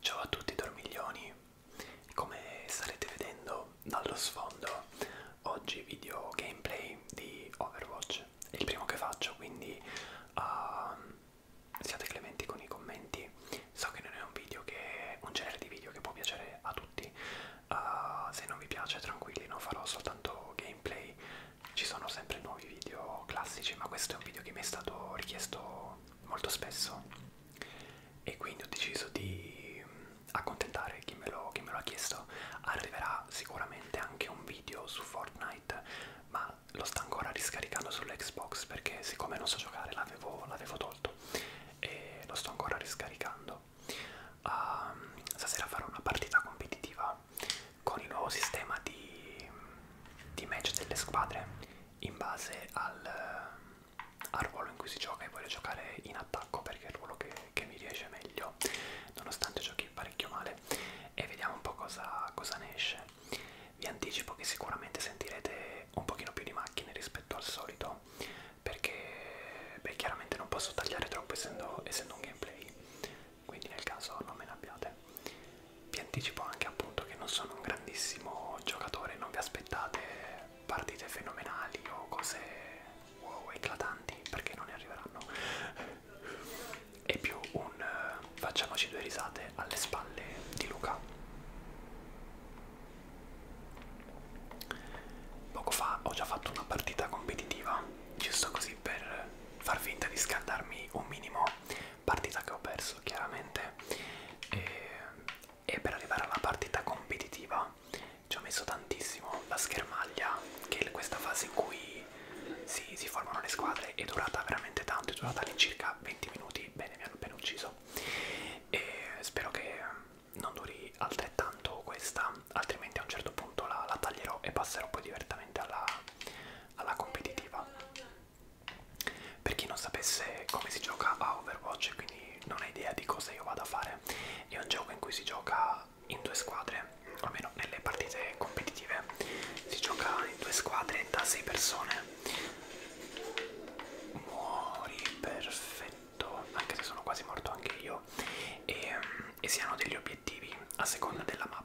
Ciao a tutti dormiglioni, come starete vedendo dallo sfondo oggi video gameplay di Overwatch, è il primo che faccio quindi uh, siate clementi con i commenti, so che non è un video che un genere di video che può piacere a tutti, uh, se non vi piace tranquilli non farò soltanto gameplay, ci sono sempre nuovi nuovi video classici ma questo è un video che mi è stato richiesto molto spesso e quindi ho deciso di mm, accontentare chi me lo, chi me lo ha chiesto arriverà sicuramente anche un video su Fortnite ma lo sta ancora riscaricando sull'Xbox perché siccome non so giocare l'avevo tolto e lo sto ancora riscaricando um, stasera farò una partita competitiva con il nuovo sistema di mm, di match delle squadre in base al, eh, al ruolo in cui si gioca e voglio giocare in attacco perché è il ruolo che, che mi riesce meglio nonostante giochi parecchio male e vediamo un po' cosa, cosa ne esce vi anticipo che sicuramente sentirete un pochino più di macchine rispetto al solito perché beh, chiaramente non posso tagliare troppo essendo, essendo un gameplay quindi nel caso non me ne abbiate vi anticipo anche appunto che non sono un grandissimo giocatore, non vi aspettate partite fenomenali o cose wow eclatanti perché non ne arriveranno. È più un uh, facciamoci due risate alle spalle di Luca. Poco fa ho già fatto una partita competitiva, giusto così per far finta di scaldarmi un minimo partita che ho perso chiaramente e, e per arrivare alla partita competitiva ci ho messo tantissimo la schermaglia che è questa fase in cui si, si formano le squadre è durata veramente tanto, è durata all'incirca 20 minuti, bene mi hanno appena ucciso e spero che non duri altrettanto questa, altrimenti a un certo punto la, la taglierò e passerò poi direttamente alla, alla competitiva. Per chi non sapesse come si gioca a Overwatch e quindi non ha idea di cosa io vado a fare, è un gioco in cui si gioca in due squadre, almeno nelle partite competitive, si gioca in due squadre da 6 persone. Muori perfetto, anche se sono quasi morto anche io, e, e si hanno degli obiettivi a seconda della mappa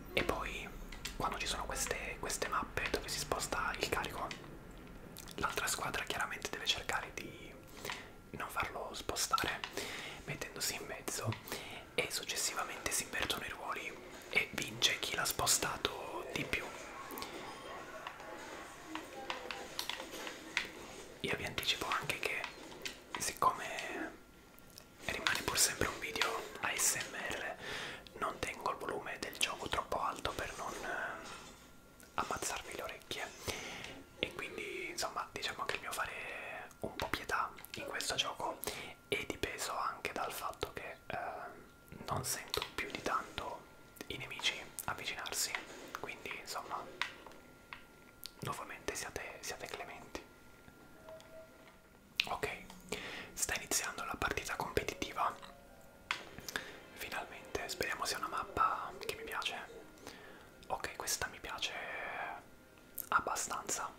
e poi quando ci sono queste, queste mappe dove si sposta il carico l'altra squadra chiaramente deve cercare di non farlo spostare mettendosi in mezzo e successivamente si invertono i ruoli e vince chi l'ha spostato di più io vi anticipo anche che siccome rimane pur sempre un video ASMR non tengo il volume del gioco troppo alto per non eh, ammazzarmi le orecchie e quindi insomma diciamo che il mio fare un po' pietà in questo gioco è dipeso anche dal fatto che eh, non sento più di tanto i nemici avvicinarsi quindi insomma nuovamente siate, siate clementi Ok, sta iniziando la partita competitiva. Finalmente, speriamo sia una mappa che mi piace. Ok, questa mi piace abbastanza.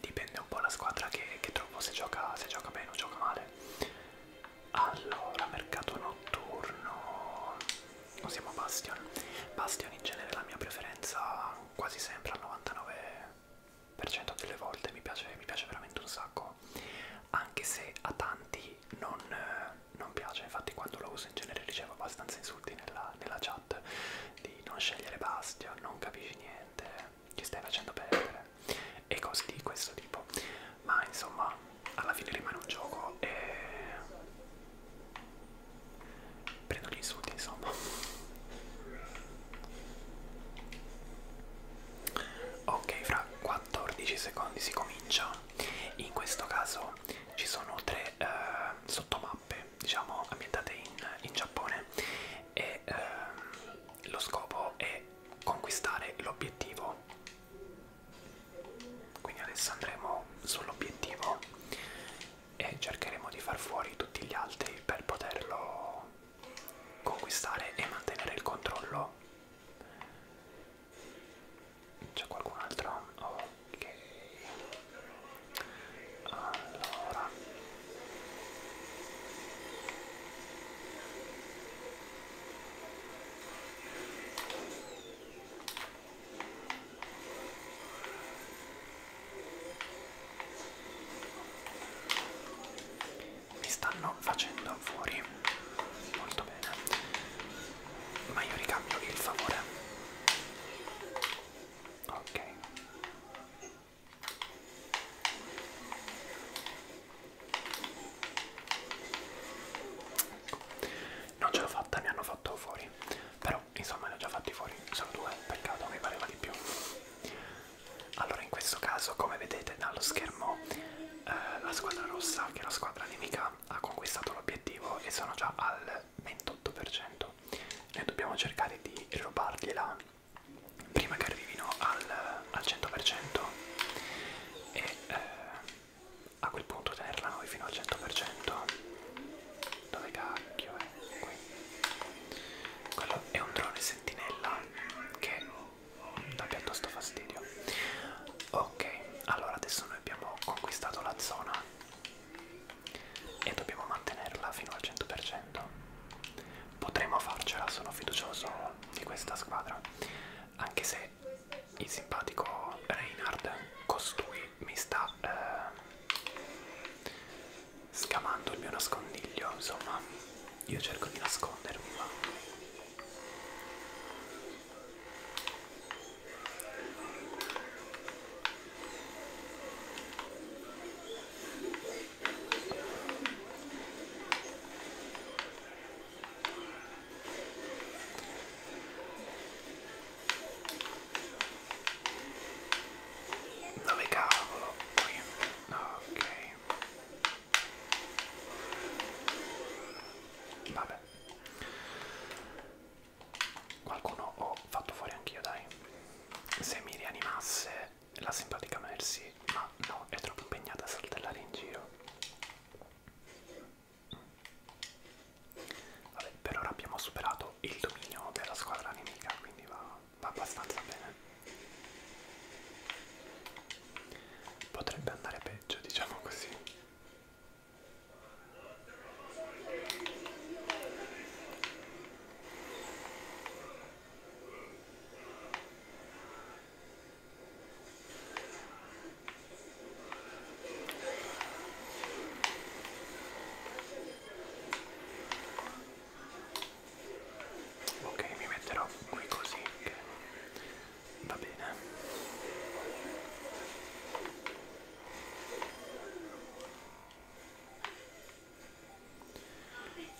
Dipende un po' la squadra che, che trovo, se gioca, se gioca bene o gioca male. Allora, mercato notturno. Usiamo Bastion. Bastion in genere è la mia preferenza quasi sempre al 99% delle volte mi piace, mi piace veramente un sacco, anche se a tanti non, eh, non piace, infatti quando lo uso in genere ricevo abbastanza insulti nella, nella chat di non scegliere Bastia, non capisci niente, ti stai facendo perdere e cose di questo tipo, ma insomma alla fine rimane un gioco e prendo gli insulti insomma. Ok, fra 14 secondi si comincia. In questo caso ci sono tre eh, sottomappe, diciamo, ambientate in, in Giappone e eh, lo scopo è conquistare l'obiettivo. Quindi adesso andremo sull'obiettivo e cercheremo di far fuori tutti gli altri per poterlo conquistare e mantenere il controllo. C'è qualcun altro? Ok. Allora mi stanno facendo fuori molto bene ma io ricambio il favore ok ecco. non ce l'ho fatta mi hanno fatto fuori però insomma ne ho già fatti fuori sono due peccato mi pareva di più allora in questo caso come vedete dallo schermo eh, la squadra rossa che è la squadra nemica ha conquistato l'obiettivo e sono già al 28%. Noi dobbiamo cercare di rubargliela prima che arrivino al, al 100% e eh, a quel punto tenerla noi fino al 100%. Dove cacchio è? Qui. Quello è un drone sentinella che dà piuttosto fastidio ok allora adesso noi abbiamo conquistato la zona e dobbiamo mantenerla fino al 100% potremo farcela sono fiducioso di questa squadra anche se il simpatico Reinhard costui mi sta eh, scavando il mio nascondiglio, insomma, io cerco di nascondermi, ma dove cavolo? Qui? Ok Vabbè. Qualcuno ho fatto fuori anch'io, dai. Se mi rianimasse la simpatica Mercy, ma no, è troppo impegnata a saltellare in giro. Vabbè, per ora abbiamo superato il dominio della squadra nemica, quindi va va abbastanza bene potrebbe andare peggio diciamo così ok mi metterò qui così che va bene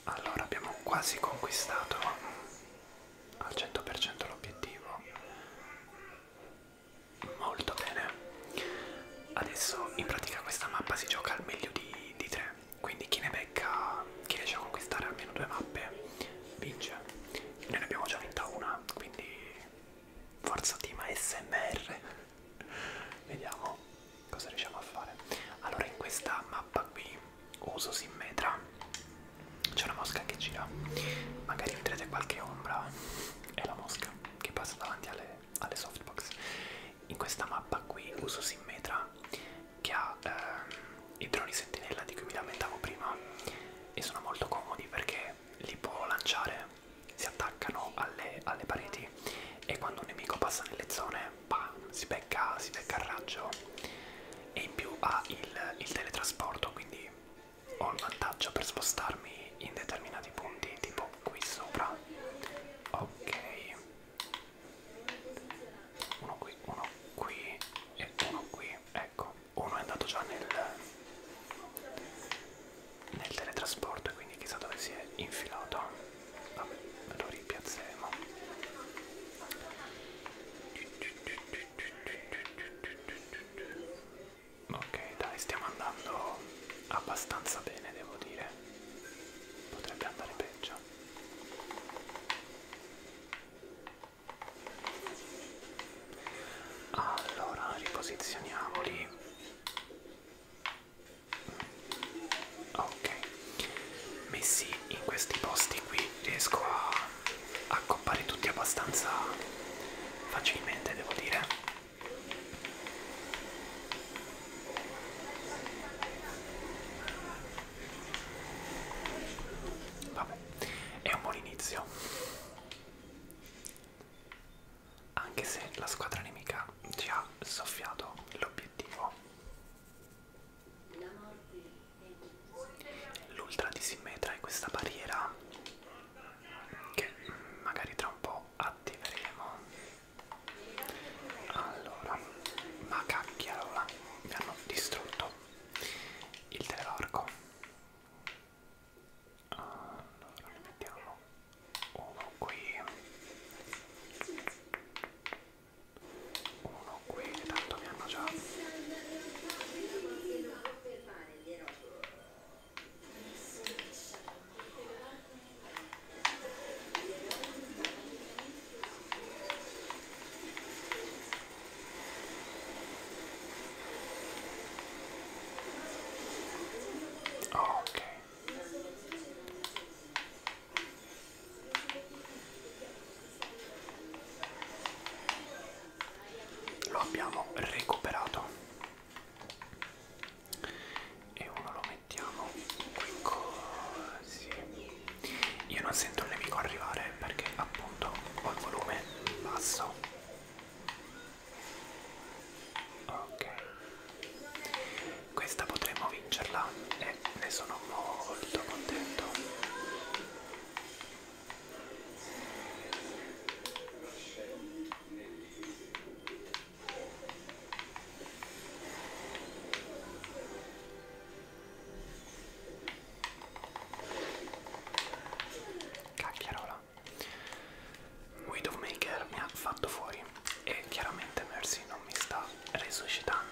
allora abbiamo quasi conquistato al 100% l'obiettivo molto bene adesso in pratica questa mappa si gioca al meglio di, di tre quindi chi ne becca, chi riesce a conquistare almeno due mappe vince. Noi ne abbiamo già vinta una, quindi forza team ASMR. Vediamo cosa riusciamo a fare. Allora in questa mappa qui uso simmetra, c'è una mosca che gira, magari vedrete qualche ombra, è la mosca che passa davanti alle, alle softbox. In questa mappa qui uso simmetra che ha eh, i droni sentinella di cui mi lamentavo prima e sono molto comodi perché li può lanciare, si attaccano alle, alle pareti e quando un nemico passa nelle zone bam, si, becca, si becca il raggio e in più ha il, il teletrasporto quindi ho il vantaggio per spostarmi in determinati punti tipo qui sopra ok uno qui, uno qui e uno qui, ecco, uno è andato già nel, nel teletrasporto e quindi chissà dove si è infilato, vabbè, lo ripiazzeremo. Ok, dai, stiamo andando abbastanza bene, devo dire. Potrebbe andare peggio. Allora, riposizioniamoli. Ok, messi in questi posti qui riesco a accoppare tutti abbastanza facilmente, devo dire. Vabbè, è un buon inizio. Anche se la squadra nemica ci ha soffiato l'obiettivo. L'ultra di Simmetra è questa barriera che magari tra un po' attiveremo. Allora, ma cacchiarola, mi hanno distrutto il televarco. Allora, ne mettiamo uno qui. Uno qui, che tanto mi hanno già... Oh, ok. Lo abbiamo recuperato e uno lo mettiamo qui così io non sento il nemico arrivare perché appunto ho il volume basso ok questa potremmo vincerla e ne sono molto contento Cacchiarola. Widowmaker mi ha fatto fuori e chiaramente Mercy non mi sta resuscitando.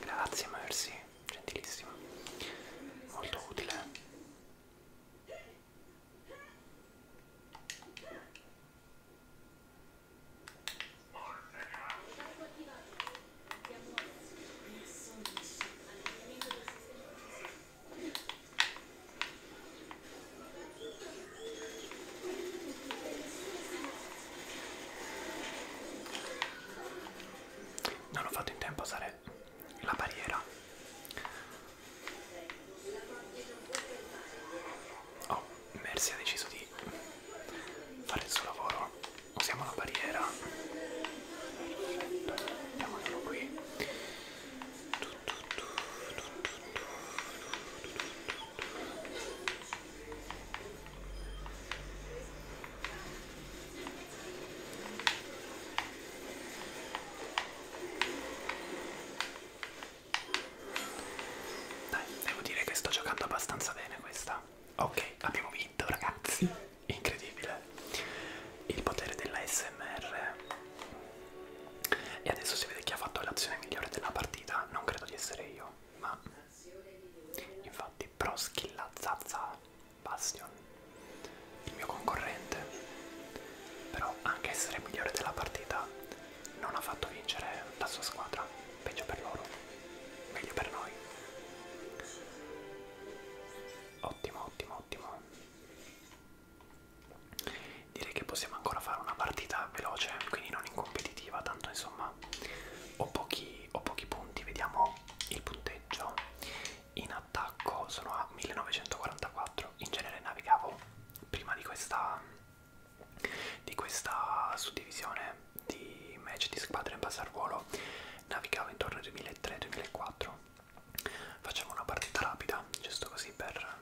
Grazie Mercy, gentilissima. Molto utile. Non ho fatto in tempo a usare la barriera. Oh, Mercy ha deciso di fare il suo lavoro. Usiamo la barriera. Perfetto. Andiamolo qui. Dai, devo dire che sto giocando abbastanza bene questa. Ok, abbiamo vinto ragazzi, incredibile. Il potere della SMR. E adesso si vede chi ha fatto l'azione migliore della partita, non credo di essere io, ma infatti pro skilla Zazza Bastion, il mio concorrente. Però anche essere migliore della partita non ha fatto vincere la sua squadra, peggio per loro meglio per noi. Ottimo, ottimo, ottimo. Direi che possiamo ancora fare una partita veloce, quindi non in competitiva, tanto insomma ho pochi, ho pochi punti, vediamo il punteggio. In attacco sono a 1944, in genere navigavo prima di questa di questa suddivisione di match di squadra in base al ruolo navigavo intorno al 2003-2004 facciamo una partita rapida giusto così per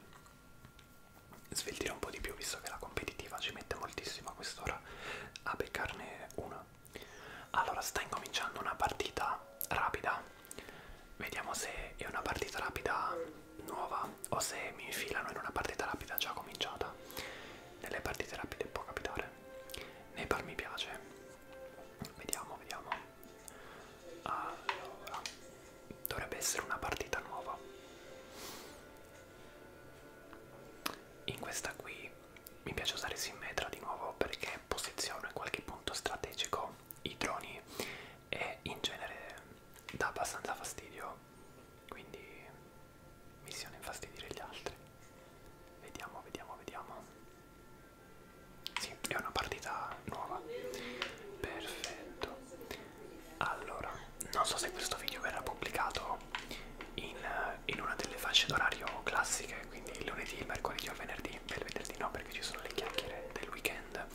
sveltire un po' di più visto che la competitiva ci mette moltissimo a quest'ora a beccarne una allora sta incominciando una partita rapida vediamo se è una partita rapida nuova o se mi infilano in una partita rapida già cominciata nelle partite rapide può capitare. Neipar mi piace. Vediamo, vediamo. Allora, dovrebbe essere una partita nuova. In questa qui mi piace usare Simmetra di nuovo perché posiziono in qualche punto strategico i droni e in genere dà abbastanza fastidio. Quindi Missione infastidire gli altri. Vediamo, vediamo, vediamo. Sì, è una partita nuova. Perfetto. Allora, non so se questo video verrà pubblicato in, in una delle fasce d'orario classiche, quindi il lunedì, il mercoledì o il venerdì. Per il venerdì no, perché ci sono le chiacchiere del weekend.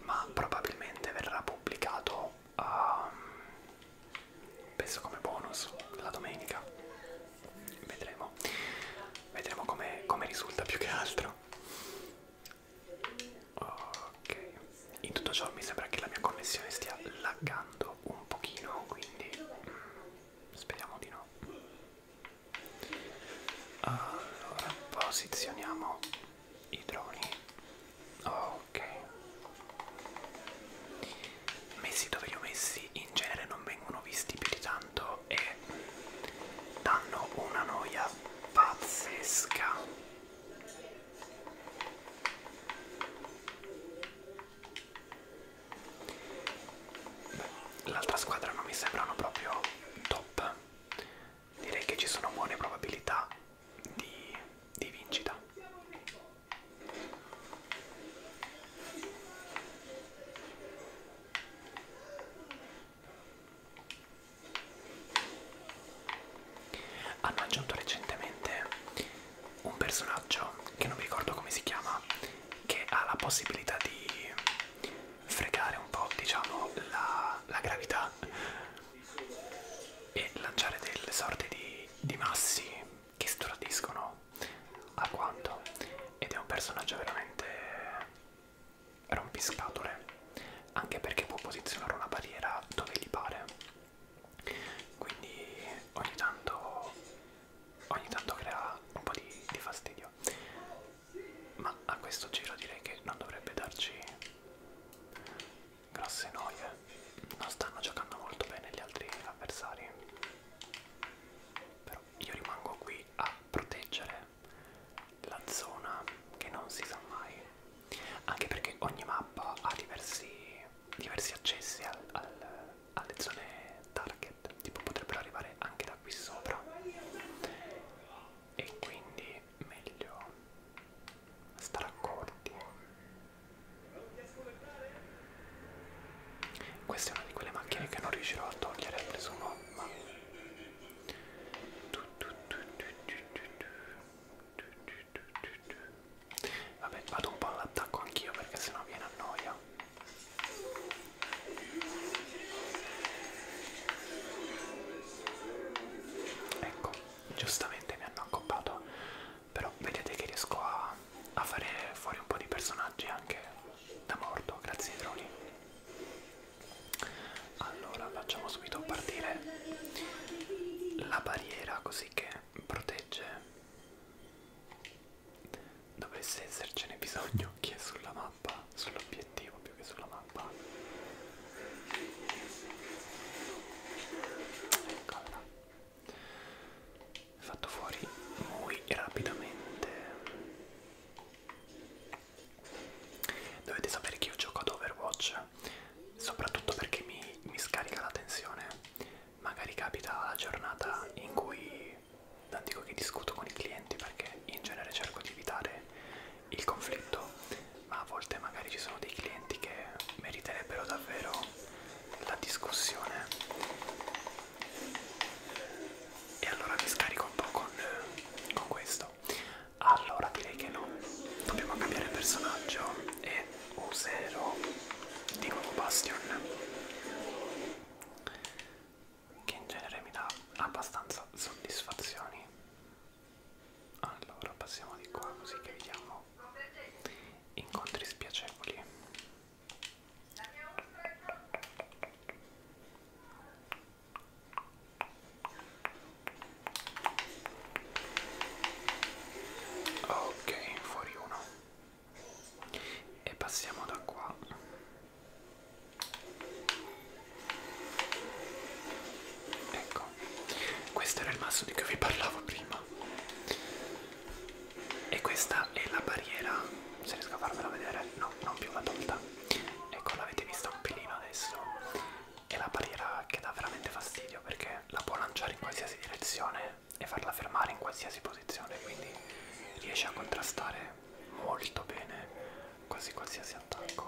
Ma probabilmente verrà pubblicato uh, penso come bonus la domenica vedremo vedremo come com risulta più che altro ok in tutto ciò mi sembra che la mia connessione stia laggando un pochino quindi mm, speriamo di no allora posizioniamo i droni oh ok messi dove li ho messi in genere non vengono visti più di tanto e danno una noia pazzesca l'altra squadra non mi sembrano proprio top direi che ci sono buone probabilità di, di vincita hanno aggiunto recentemente un personaggio che non mi ricordo come si chiama, che ha la possibilità di fregare un po', diciamo, la, la gravità e lanciare delle sorte di di massi che stordiscono alquanto ed è un personaggio veramente rompiscatole anche perché può posizionare una barriera dove gli pare quindi ogni tanto ogni tanto crea un po' di, di fastidio ma a questo giro direi che non dovrebbe darci grosse noie non stanno giocando molto bene gli altri avversari però io rimango qui a proteggere la zona che non si sa mai anche perché ogni mappa ha diversi, diversi accessi al, al, alle zone target tipo potrebbero arrivare anche da qui sopra e quindi meglio stare accorti. Questa è una di quelle macchine che non riuscirò a togliere, ha preso un'omma. Vabbè, vado un po' all'attacco anch'io perché sennò viene a noia. Ecco, giustamente mi hanno accoppato però vedete che riesco a, a fare fuori un po' di personaggi anche da morto grazie ai droni allora facciamo subito partire la barriera così che protegge dovesse essercene bisogno chi è sulla mappa sull'obiettivo più che sulla mappa eccola fatto fuori muy rapidamente dovete sapere che io gioco ad Overwatch soprattutto perché mi, mi scarica la tensione magari capita la giornata in cui non dico che discuto con i clienti perché in genere cerco di evitare il conflitto ma a volte magari ci sono dei clienti che meriterebbero davvero la discussione e allora mi scarico un po' con, con questo allora direi che no dobbiamo cambiare personaggio e userò di nuovo Bastion che in genere mi dà abbastanza soddisfazioni allora passiamo di qua così che vediamo incontri spiacevoli ok fuori uno e passiamo da qua ecco questo era il masso di cui vi parlavo prima. E questa è la barriera. Se riesco a farvela vedere, no, non più la tolta. Ecco, l'avete vista un pelino adesso. È la barriera che dà veramente fastidio perché la può lanciare in qualsiasi direzione e farla fermare in qualsiasi posizione. Quindi riesce a contrastare molto bene quasi qualsiasi attacco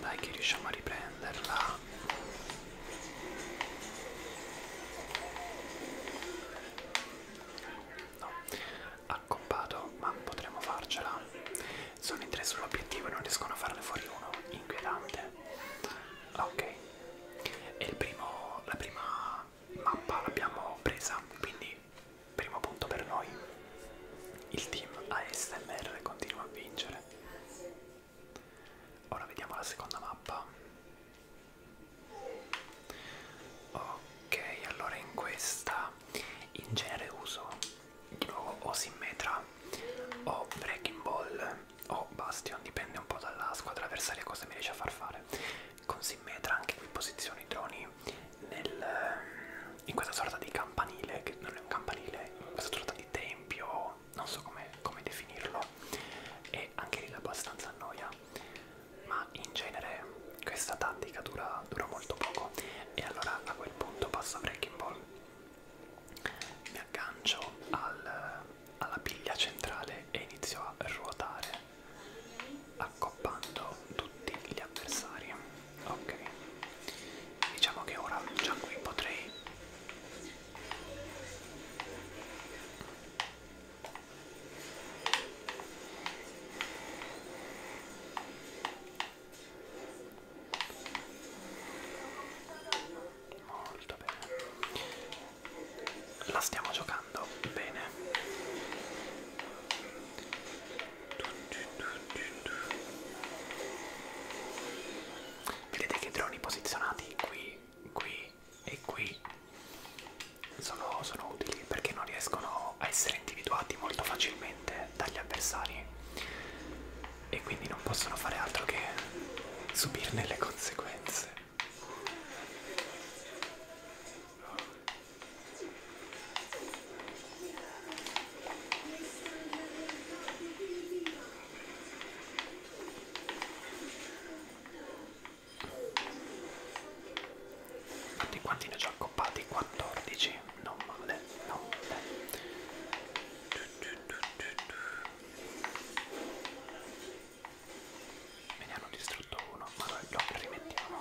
dai che riusciamo a riprenderla. No, accoppato, ma potremmo farcela. Sono in tre sull'obiettivo e non riescono a farne fuori uno. Inquietante. Ah, ok e il primo, la prima mappa l'abbiamo presa quindi primo punto per noi il team ASMR continua a vincere ora vediamo la seconda mappa ok allora in questa in genere uso di nuovo o Simmetra o Breaking Ball o Bastion, dipende un po' dalla squadra avversaria cosa mi riesce a far fare. Con Simmetra anche qui posiziono i droni nel, in questa sorta di campanile, che non è un campanile, in questa sorta di tempio, non so come com definirlo, e anche lì abbastanza annoia, ma in genere questa tattica dura, dura molto poco e allora a quel punto passo a Breaking Ball mi aggancio al, alla piglia centrale e inizio a ruotare accoppando tutti gli avversari ok diciamo che ora già qui potrei molto bene la stiamo giocando bene vedete che i droni posizionati qui qui e qui sono, sono utili perché non riescono a essere individuati molto facilmente dagli avversari e quindi non possono fare altro che subirne le conseguenze. Infatti quanti ne ho già accoppati? 14, non male, non male me ne hanno distrutto uno ma lo, lo rimettiamo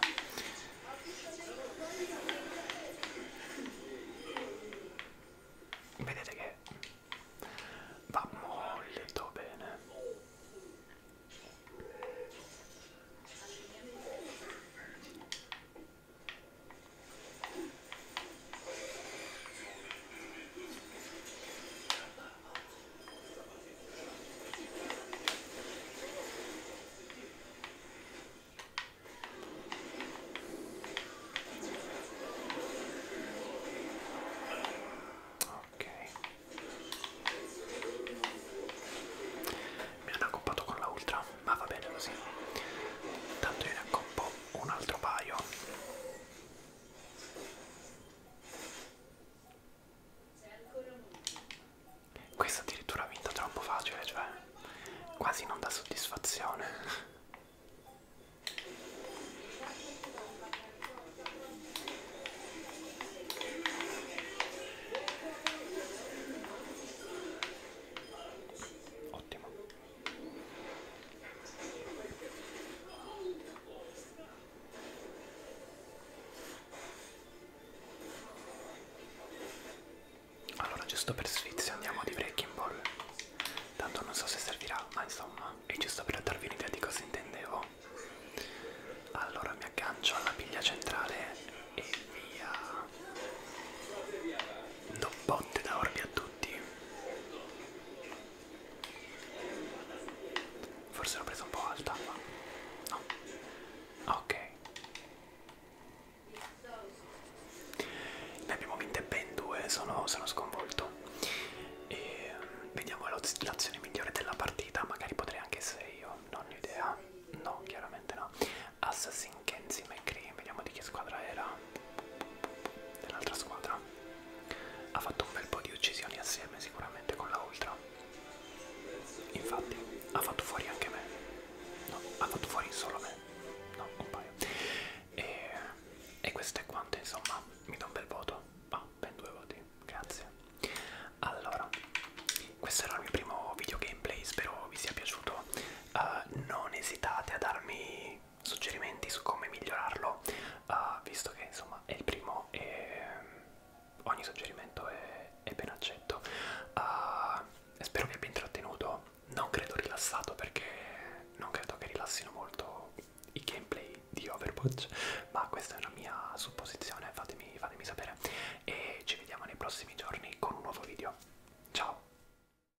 vedete che va molto bene Ok. Mi hanno accoppato con la ultra, ma va bene così. Tanto io ne accoppo un altro paio questa addirittura ha vinto troppo facile cioè quasi non dà soddisfazione ottimo allora giusto per sfizio andiamo di Breaking Ball Tanto non so se servirà ma insomma è giusto per darvi un'idea di cosa intendevo Allora mi aggancio alla piglia centrale e via Doppotte da orbi a tutti minuti forse l'ho presa un po' alta ma no ok ne abbiamo vinte ben due sono, sono sconvolto e mm, vediamo l'azione migliore della partita magari potrei anche essere io non ho idea no chiaramente no Assassin Kenzie McCree vediamo di che squadra era dell'altra squadra ha fatto un bel po' di uccisioni assieme sicuramente con la ultra infatti ha fatto fuori anche me no ha fatto fuori solo me no un paio e, e queste quante insomma mi do un bel voto ah ben due voti grazie allora questo era il mio primo video gameplay spero vi sia piaciuto uh, non esitate a darmi suggerimenti su come migliorarlo, uh, visto che insomma è il primo e ehm, ogni suggerimento è, è ben accetto. Uh, spero vi abbia intrattenuto, non credo rilassato perché non credo che rilassino molto i gameplay di Overwatch, ma questa è una mia supposizione, fatemi, fatemi sapere e ci vediamo nei prossimi giorni con un nuovo video. Ciao!